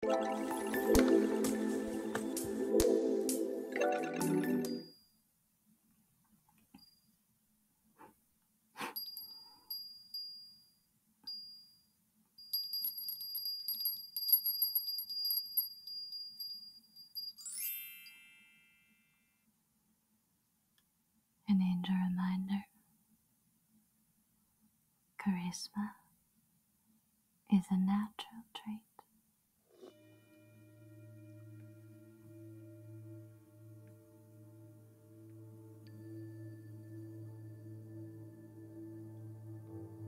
An angel reminder Charisma is a natural trait.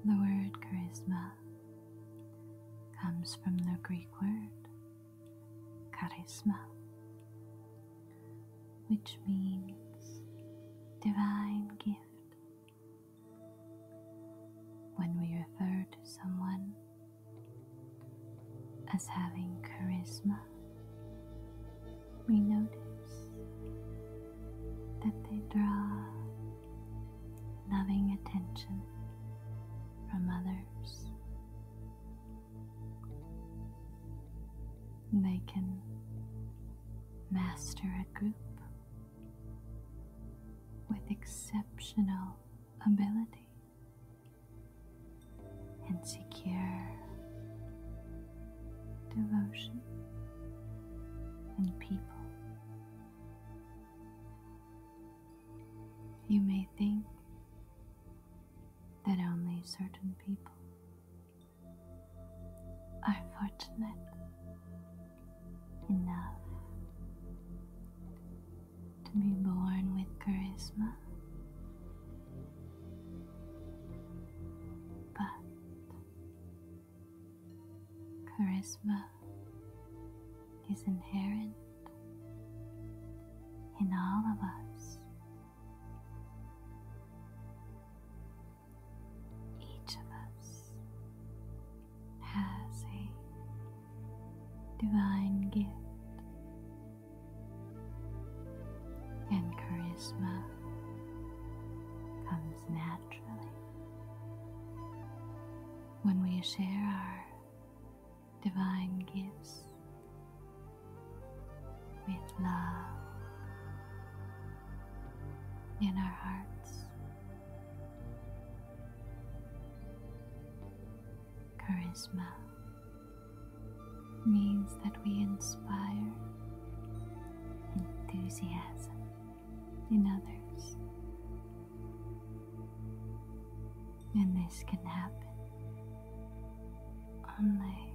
The word charisma comes from the Greek word charisma, which means divine gift when we refer to someone as having charisma, we notice that they draw loving attention from others. They can master a group with exceptional ability and secure devotion and people. You may think that only certain people are fortunate enough to be born with charisma. But charisma is inherent in all of us. Each of us has a divine gift and charisma comes naturally when we share our divine gifts with love in our hearts. Charisma means that we inspire enthusiasm in others. And this can happen only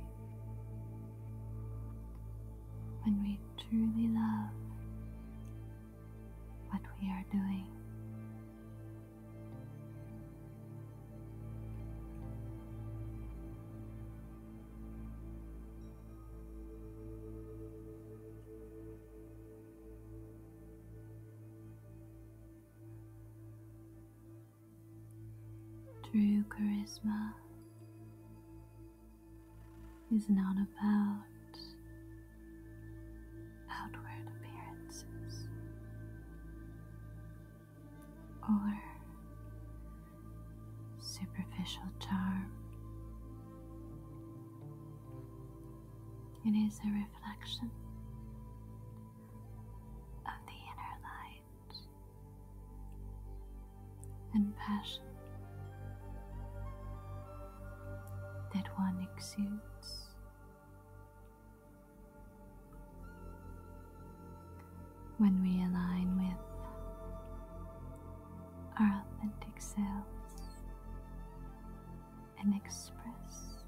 when we truly love what we are doing. True charisma is not about outward appearances or superficial charm. It is a reflection of the inner life and passion that one exudes. When we align with our authentic selves and express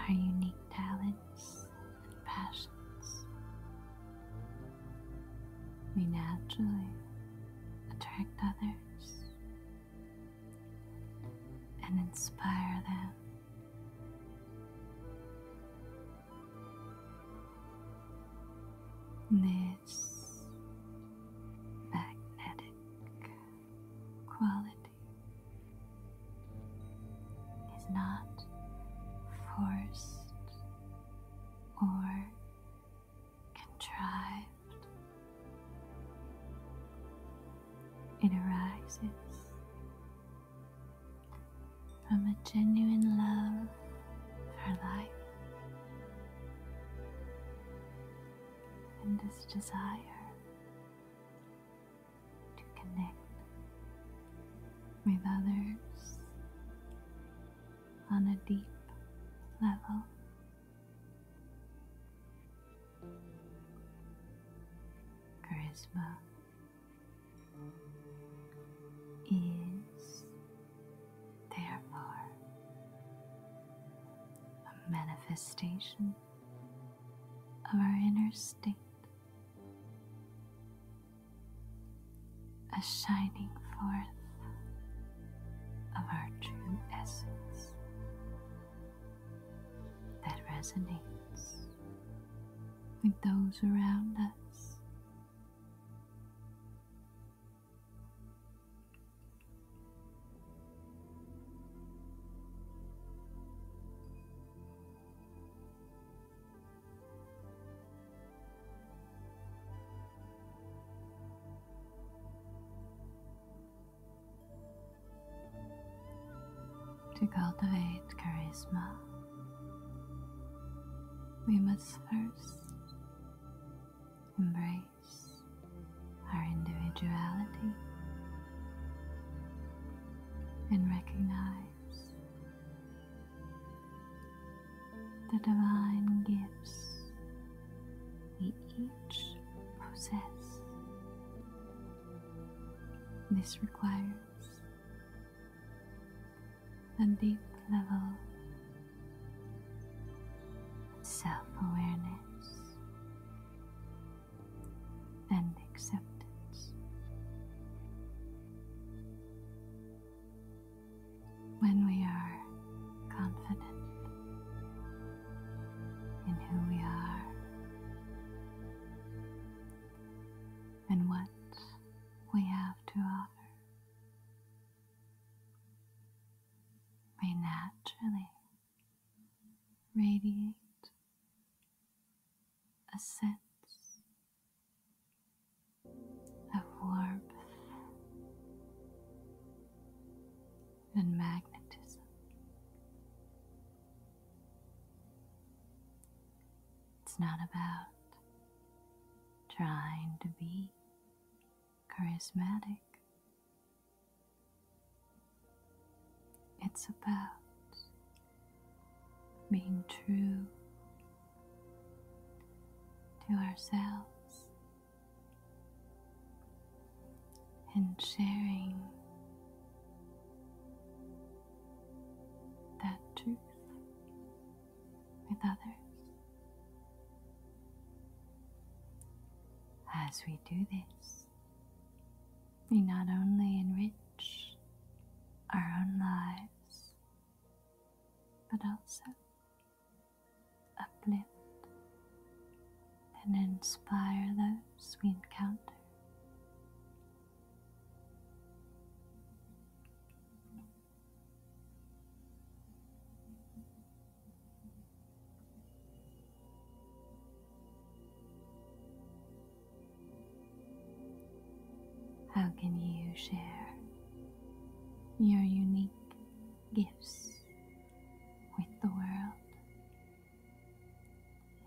our unique talents and passions. We naturally attract others and inspire them. This magnetic quality is not forced or contrived. It arises from a genuine love for life. And this desire to connect with others on a deep level. Charisma is therefore a manifestation of our inner state a shining forth of our true essence that resonates with those around us. To cultivate charisma, we must first embrace our individuality and recognize the divine gifts we each possess. This requires a deep level of self awareness and acceptance. When we are confident in who we are and what we have to offer. We naturally radiate a sense of warmth and magnetism. It's not about trying to be charismatic. It's about being true to ourselves and sharing that truth with others. As we do this, we not only enrich our own lives, but also uplift and inspire those we encounter. How can you share your unique gifts with the world?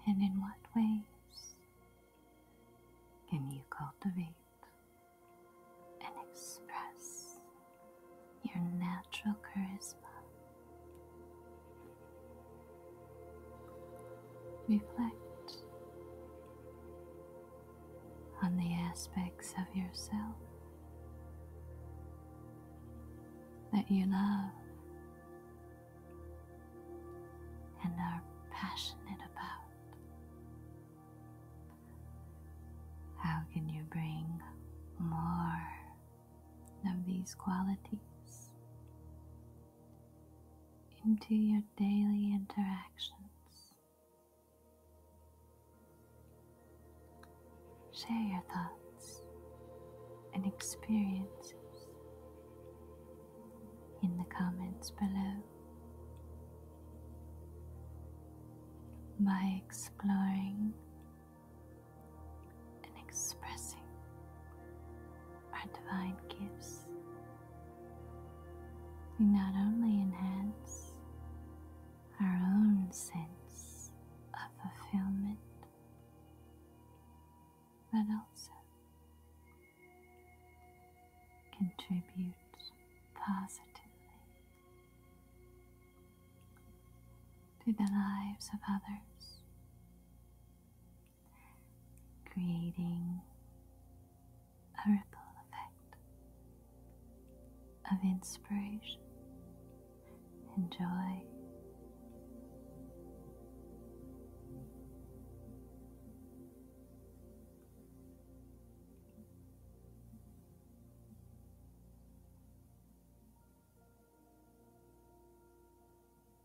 And in what ways can you cultivate and express your natural charisma Reflect on the aspects of yourself that you love and are passionate about. How can you bring more of these qualities into your daily interactions. Share your thoughts and experiences in the comments below by exploring and expressing our divine gifts. We not only enhance our own sense of fulfillment, but also contribute positively to the lives of others creating a ripple effect of inspiration and joy.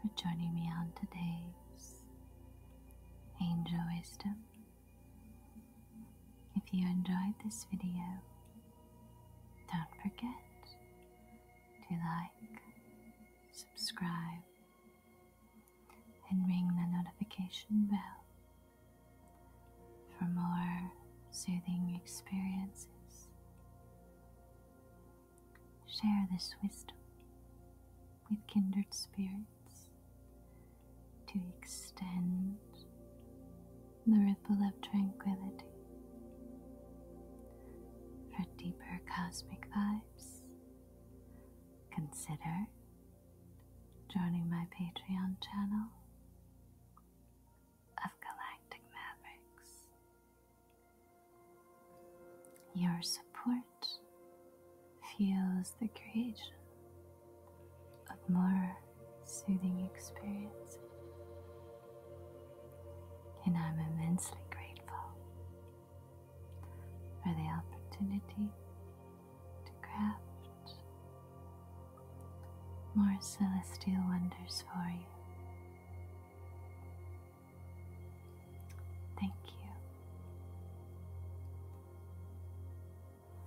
for joining me on today's Angel Wisdom. If you enjoyed this video, don't forget to like, subscribe, and ring the notification bell for more soothing experiences. Share this wisdom with kindred spirits to extend the ripple of tranquility for deeper cosmic vibes. Consider joining my Patreon channel of Galactic Mavericks. Your support fuels the creation of more soothing experiences. And I'm immensely grateful for the opportunity to craft more celestial wonders for you. Thank you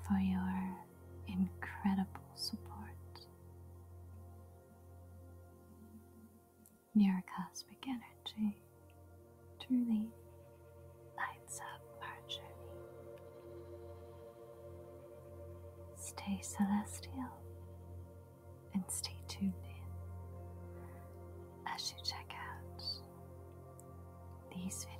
for your incredible support. Your cosmic energy truly lights up our journey. Stay celestial and stay tuned in as you check out these videos.